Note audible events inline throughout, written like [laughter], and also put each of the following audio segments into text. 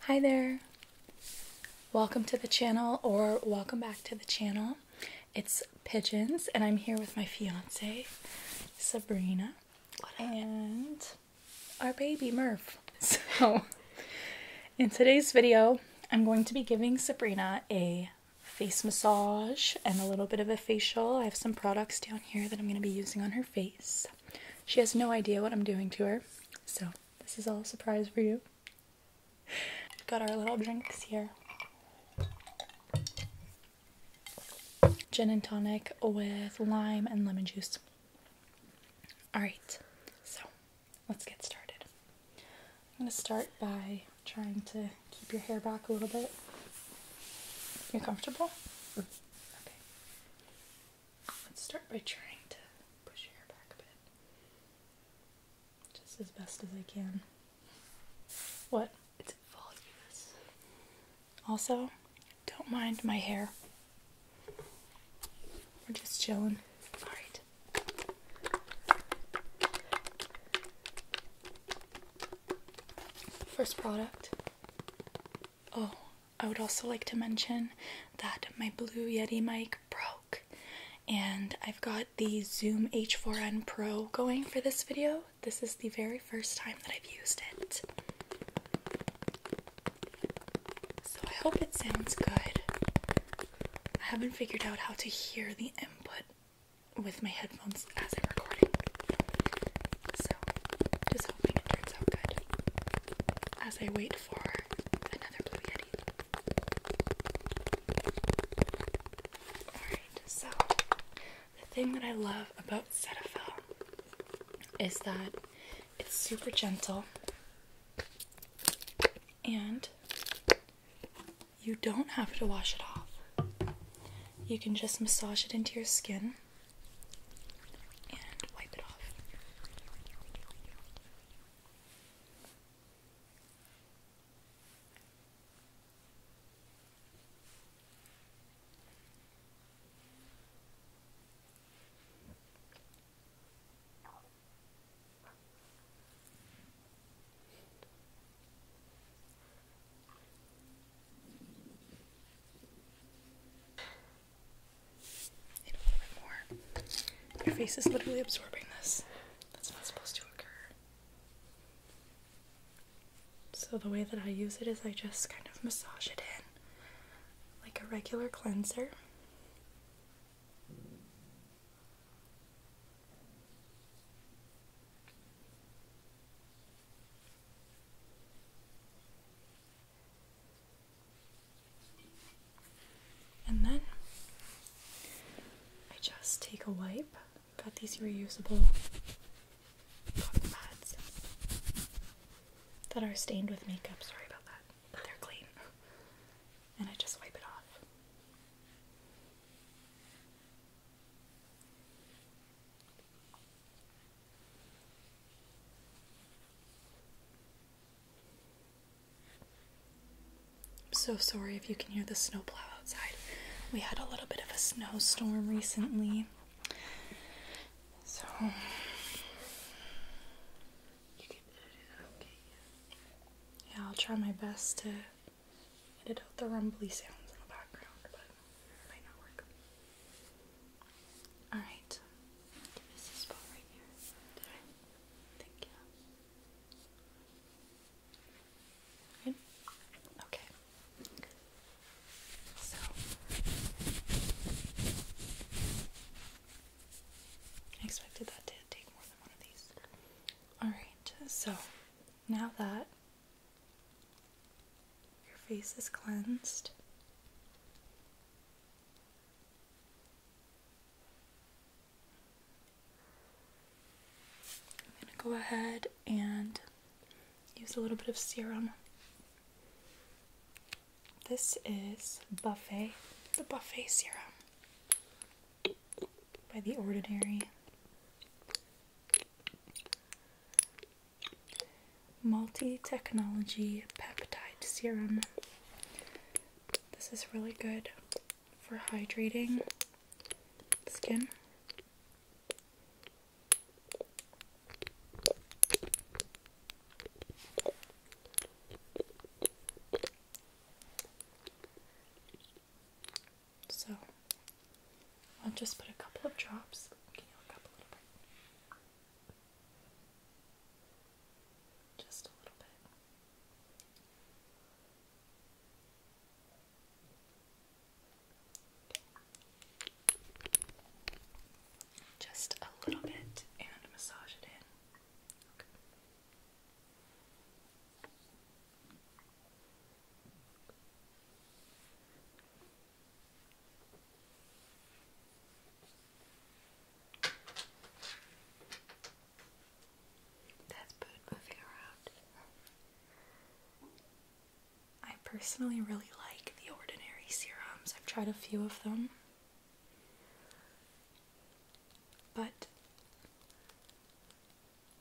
Hi there! Welcome to the channel, or welcome back to the channel. It's Pigeons, and I'm here with my fiance, Sabrina, and our baby, Murph. [laughs] So, in today's video, I'm going to be giving Sabrina a face massage and a little bit of a facial. I have some products down here that I'm going to be using on her face. She has no idea what I'm doing to her, so this is all a surprise for you. Got our little drinks here gin and tonic with lime and lemon juice. Alright, so let's get started. I'm going to start by trying to keep your hair back a little bit. You're comfortable? Okay. Let's start by trying to push your hair back a bit. Just as best as I can. What? It's voluminous. Also, don't mind my hair. We're just chilling. Alright. First product. Oh, I would also like to mention that my Blue Yeti mic broke and I've got the Zoom H4n Pro going for this video. This is the very first time that I've used it. So I hope it sounds good. I haven't figured out how to hear the input with my headphones as I'm recording. So just hoping it turns out good as I wait for another Blue Yeti. Alright, so the thing that I love about Cetaphil is that it's super gentle and you don't have to wash it off. You can just massage it into your skin and wipe it off. Need more. Your face is literally absorbing this. That's not supposed to occur. So, the way that I use it is I just kind of massage it in like a regular cleanser. And then I just take a wipe. Got these reusable cotton pads that are stained with makeup. Sorry about that, but they're clean. And I just wipe it off. I'm so sorry if you can hear the snowplow outside. We had a little bit of a snowstorm recently. So Yeah, I'll try my best to edit out the rumbly sounds in the background, but might not work. Alright. Thank you. Okay. So I expected that to take more than one of these. Alright, so now that your face is cleansed, I'm going to go ahead and use a little bit of serum. This is Buffet, the Buffet Serum by The Ordinary. Multi Technology Peptide Serum. This is really good for hydrating skin. So I'll just put a couple of drops. Can you look up a little bit? Just a little bit. Just a little bit and massage it in. Okay. That's bird moving around. I personally really like the ordinary serums. I've tried a few of them. But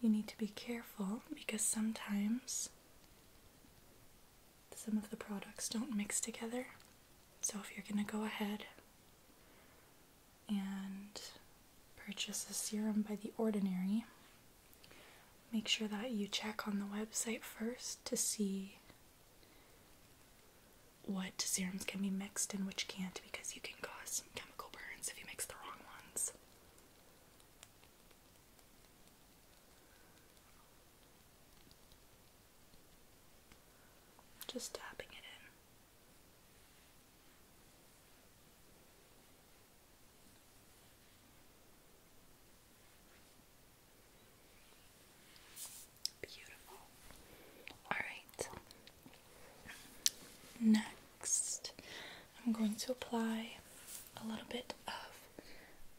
you need to be careful because sometimes some of the products don't mix together. So if you're going to go ahead and purchase a serum by The Ordinary, make sure that you check on the website first to see what serums can be mixed and which can't because you can cause some chemical burns if you mix the wrong ones. Just tapping it in. Beautiful. All right. Next, I'm going to apply a little bit of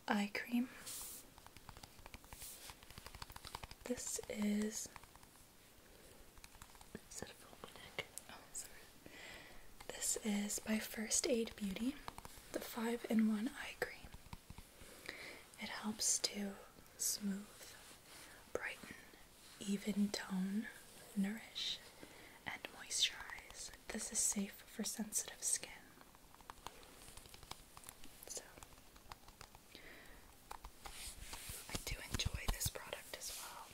eye cream. This is oh, This is by First Aid Beauty, the five in one eye cream. It helps to smooth, brighten, even tone, nourish, and moisturize. This is safe for sensitive skin. So I do enjoy this product as well.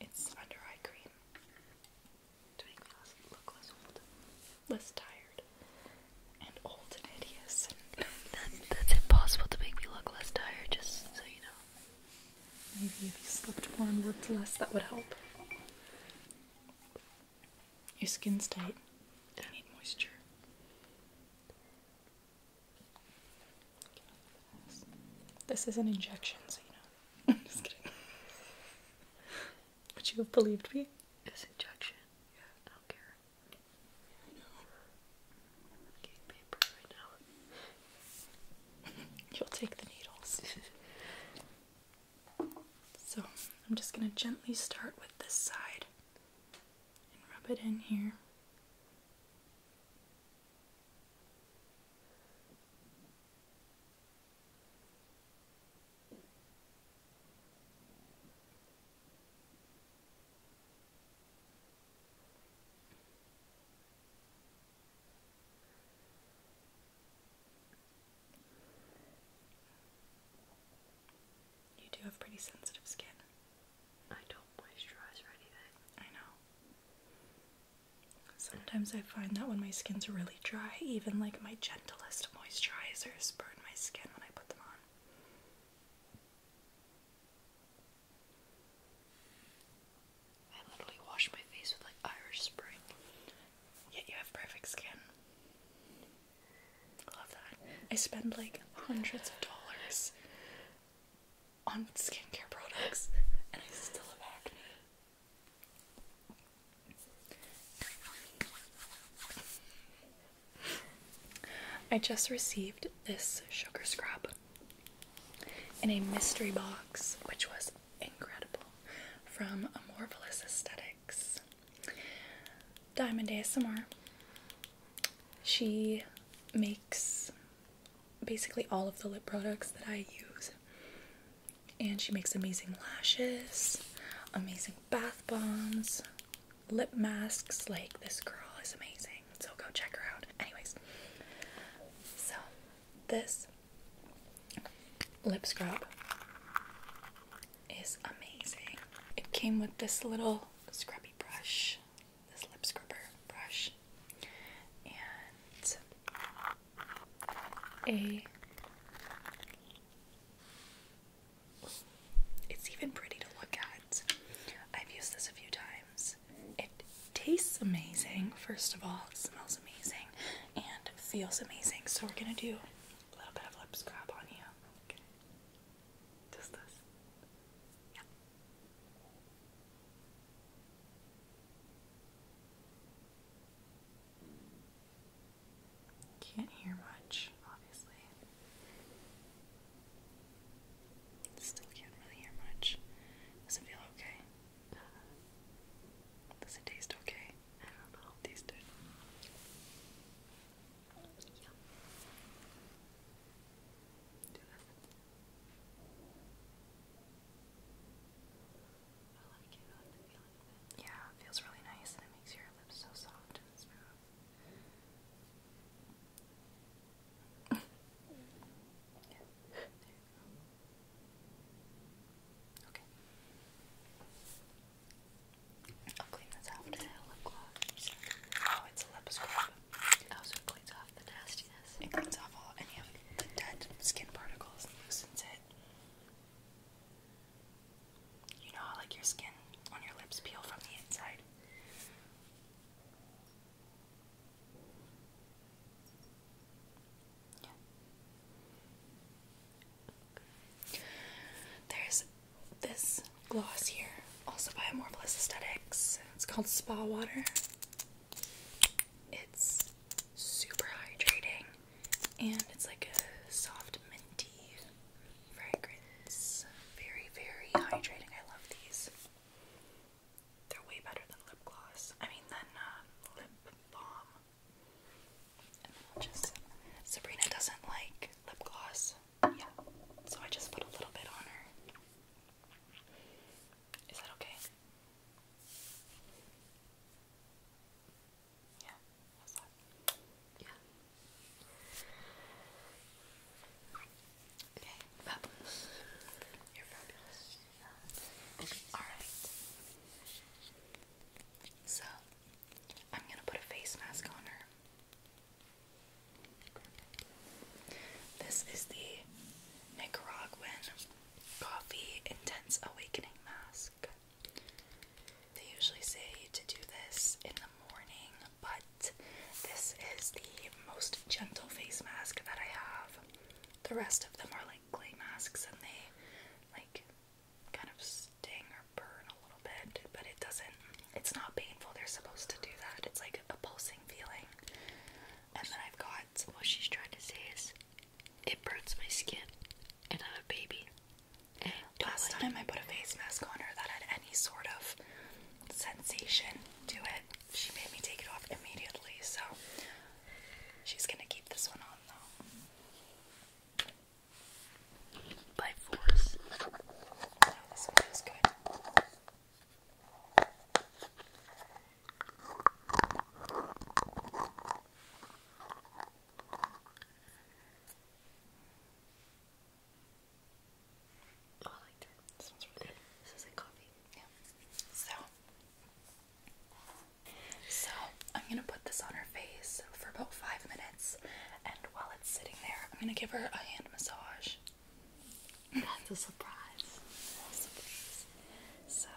It's under eye cream to make me look less old, less tired, and old and hideous. that's impossible to make me look less tired, just so you know. Maybe if you slept more and worked less, that would help. Your skin's tight. I need moisture. This is an injection, so you know. [laughs] I'm just kidding. Would you have believed me? It's injection. Yeah, I don't care. I know. Okay, [laughs] You'll take the needles. [laughs] so I'm just going to gently start with this side and rub it in here. You do have pretty sensitive skin. I don't moisturize anything. I know. Sometimes I find that when my skin's really dry, even like my gentlest moisturizers burn my skin when I put them on. I literally wash my face with like Irish Spring. Yet you have perfect skin. I love that. I spend like hundreds of dollars on skincare products and I still have acne. I just received this sugar scrub in a mystery box, which was incredible, from Amorphous Aesthetics. Diamond ASMR. She makes basically all of the lip products that I use, and she makes amazing lashes, amazing bath bombs, lip masks. Like, this girl is amazing. So go check her out. Anyways, so this lip scrub is amazing. It came with this little scrubby brush, this lip scrubber brush, and a it's even pretty to look at. I've used this a few times it tastes amazing, first of all, it smells amazing, and feels amazing. So we're gonna do a little bit of lip scrub on you. Okay. Just this. Can't hear much, obviously. Still can't really hear much. Does it feel okay? Does it taste okay? I don't know. Taste it. Yeah. it feels really nice and it makes your lips so soft and smooth. Okay. I'll clean this after a lip gloss. Oh, it's a lip scrub. Also, it cleans off the nastiness. It cleans off all any of the dead skin particles and loosens it. You know how like your skin on your lips peel from the inside? There's this gloss here, also by Amorphous Aesthetics. It's called Spa Water. It's super hydrating and it's like a soft minty fragrance. Very, very hydrating. I love these. They're way better than lip gloss. I mean, than uh, lip balm. And then I'll just. Sabrina doesn't like lip gloss. Yeah. So I just put a little bit on her. Is that okay? Yeah. How's that? Yeah. Okay, fabulous. You're fabulous. Okay, alright. So, I'm gonna put a face mask on her. This is the Nicaraguan Coffee Intense Awakening Mask. They usually say to do this in the morning, but this is the most gentle face mask that I have. The rest of them are like clay masks and they like kind of sting or burn a little bit, but it doesn't, it's not painful. They're supposed to do that. It's like a pulsing feeling. And then I've got what she's trying to say is it burns my skin and I'm a baby. Last time I put a face mask on her that had any sort of sensation to it, she made me take it off immediately, so she's gonna keep this one on though. By force. No, this one is good. Oh, so, I'm gonna put this on her face for about five minutes, and while it's sitting there, I'm gonna give her a hand massage. That's A surprise. So,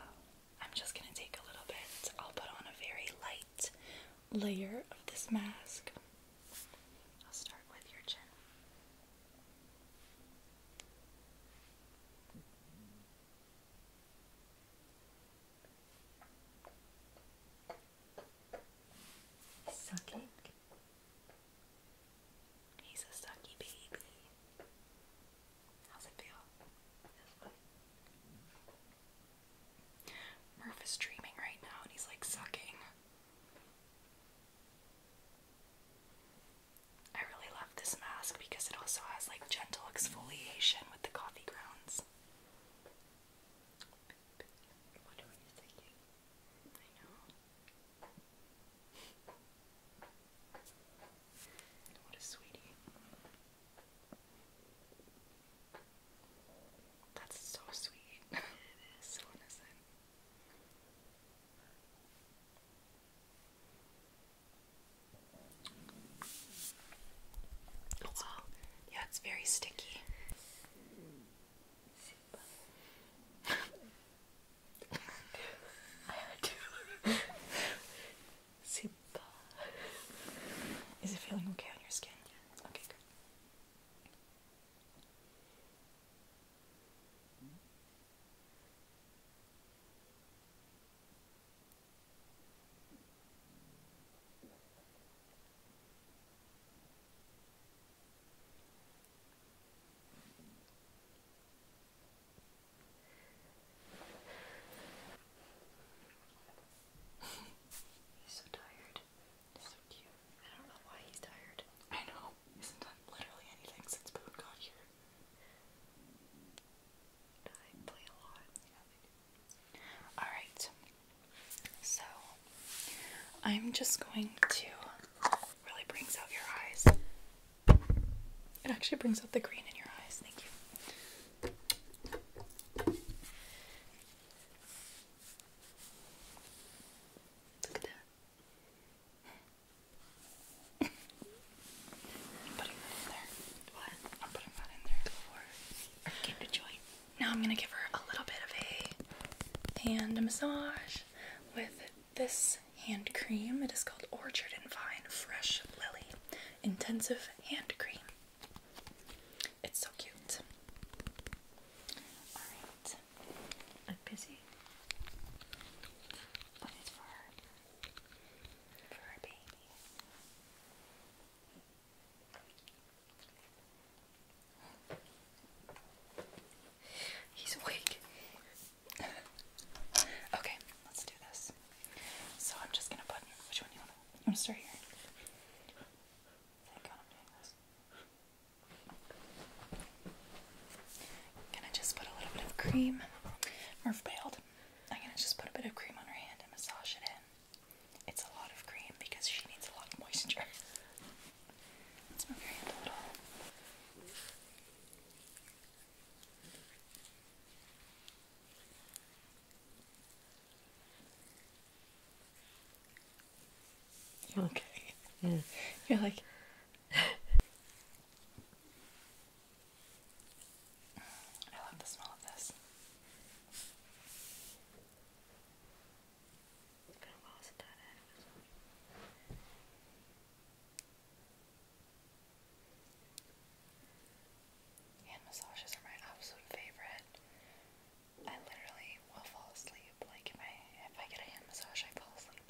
I'm just gonna take a little bit. I'll put on a very light layer of this mask. I'll start with your chin. Sucking. He's a sucky baby. How's it feel? Murph is dreaming right now and he's like sucking. I really love this mask because it also has like gentle exfoliation with the coffee grounds. I know. What a sweetie. That's so sweet. [laughs] so innocent wow, yeah, it's very sticky. I had to. Simba. Is it feeling okay on your skin? Okay, good. He's so tired. He's so cute. I don't know why he's tired. I know hasn't done literally anything since Boone got here. I play a lot. Alright. So, I'm just going to really brings out your eyes. It actually brings out the green in your eyes. Thank you. Look at that. I'm putting that in there. What? I'm putting that in there for Kim to join. Now I'm gonna give her a little bit of a hand massage with this hand cream. It is called Orchard and Vine Fresh Lily Intensive Hand Cream. It's so cute. Alright. I'm busy. But it's for For her baby. He's awake. okay, let's do this. So I'm just gonna put which one you wanna I'm going start here. Thank I'm doing this. I'm gonna just put a little bit of cream. Murph bailed. I'm gonna just put a bit of cream on her hand and massage it in. It's a lot of cream because she needs a lot of moisture. let okay. You're like, I love the smell of this. Hand massages are my absolute favorite. I literally will fall asleep. Like if I get a hand massage, I fall asleep.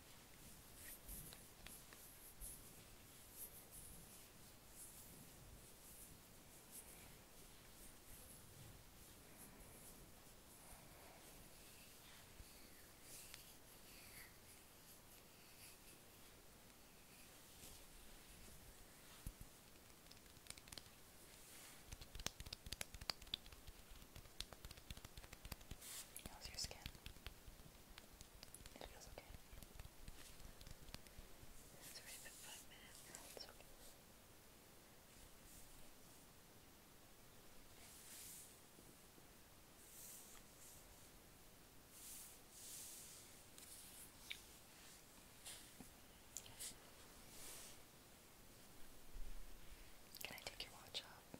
How's your skin? It feels okay. Can I take your watch off?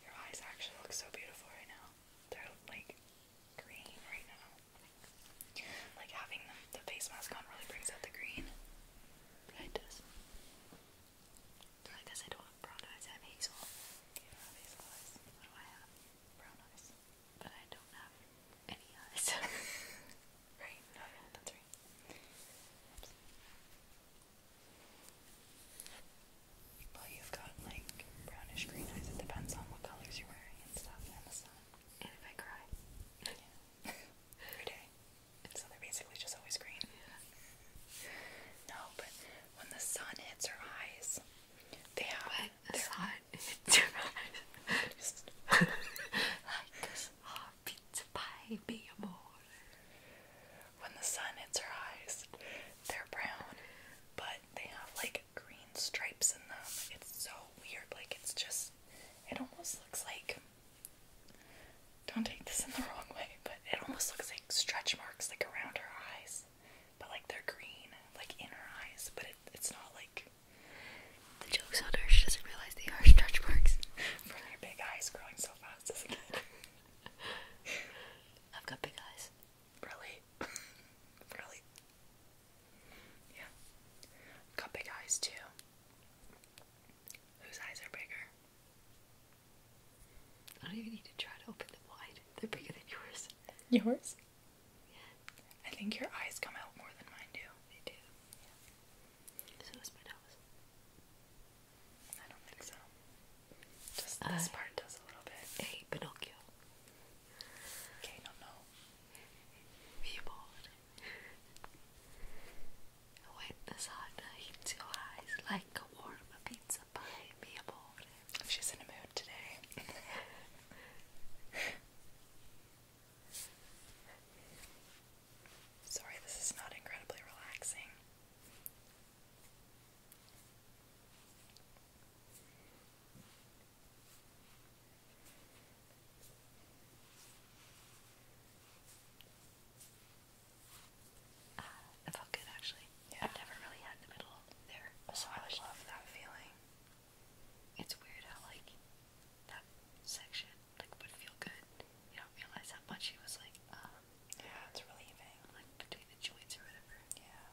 Your eyes actually look so beautiful right now. They're like green right now. Like having the, face mask on really brings out the green. it does. I guess I don't have brown eyes, I have hazel. You have hazel eyes. What do I have? Brown eyes. But I don't have any eyes. [laughs] right? No, yeah, that's well, you've got like brownish green eyes. It depends on what colors you're wearing and stuff and the sun. And if I cry, [laughs] every day. So they're basically just always green. No, but when the sun hits her eyes, they have the sun [laughs] hits her eyes. [laughs] like this hot oh, pizza pie, be a boy. When the sun hits her eyes, they're brown, but they have like green stripes in them. It's so weird. Like, it's just, it almost looks like, don't take this in the wrong way, but it almost looks like stretch marks like around her eyes. But like they're green, like in her eyes, but it, it's not like. The joke's on her, she doesn't realize they are stretch marks. [laughs] From her big eyes growing so fast as a kid. I've got big eyes. Really? [laughs] really? Yeah. I've got big eyes too. Whose eyes are bigger? I don't even need to try to open them wide. They're bigger than yours. Yours? Yeah. I think your eyes come out more than mine do. They do. Yeah. So does my nose. I don't think so. Just this uh, part does a little bit. Hey, Pinocchio. Okay, no, no. Reborn. When the sun hits your eyes like a warm pizza pie, mi She's in a mood today. [laughs] Sorry, this is not incredibly relaxing. Ah, uh, that felt good actually. Yeah. I've never really had the middle there. So I love that feeling. It's weird how like that section like would feel good you don't realize how much he was like, um, yeah, it's relieving, like between the joints or whatever. Yeah.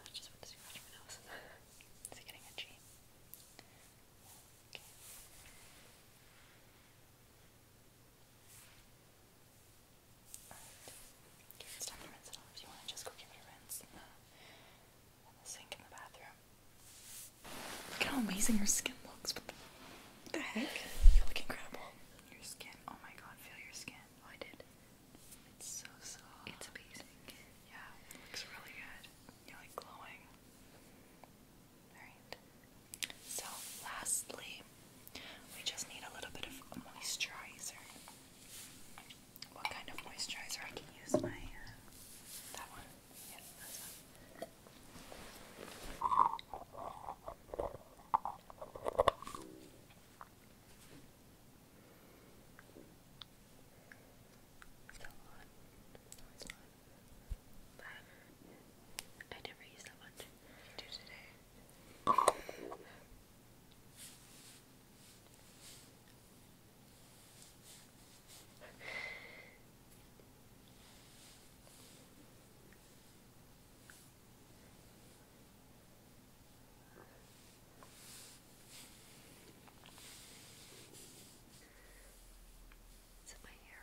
I just want to see nose. Is it getting itchy? Okay. it's time to rinse it off. Do you want just go give it a rinse in the, sink in the bathroom? Look how amazing her skin looks the heck? You look incredible. Your skin. Oh my god, feel your skin. Oh, I did. It's so soft. It's amazing. Yeah, looks really good. You're like glowing. Alright. So, lastly, we just need a little bit of moisturizer. What kind of moisturizer? I can use my. Uh, that one. Yeah, that's one. It's got a lot. No, it's not. But I never use that much. I do today. It's in my hair.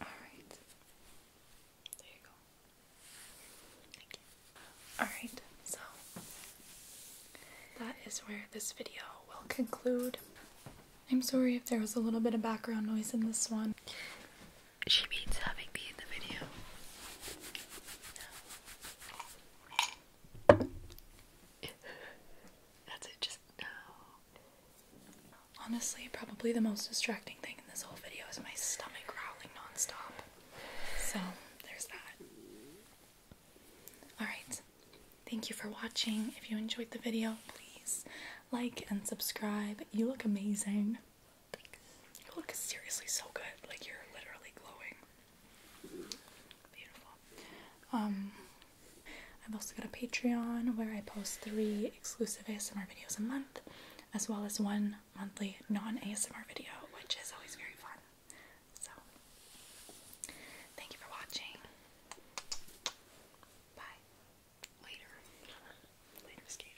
All right. There you go. Thank you. Alright, so that is where this video will conclude. I'm sorry if there was a little bit of background noise in this one she means having me in the video. [laughs] That's it, just no. Honestly, probably the most distracting thing in this whole video is my stomach growling nonstop. So, there's that. Alright, thank you for watching. If you enjoyed the video, please like and subscribe. You look amazing. You look seriously so good. Like you're literally glowing. Um, I've also got a Patreon where I post three exclusive ASMR videos a month, as well as one monthly non-ASMR video, which is always very fun. So, thank you for watching. Bye. Later. Later,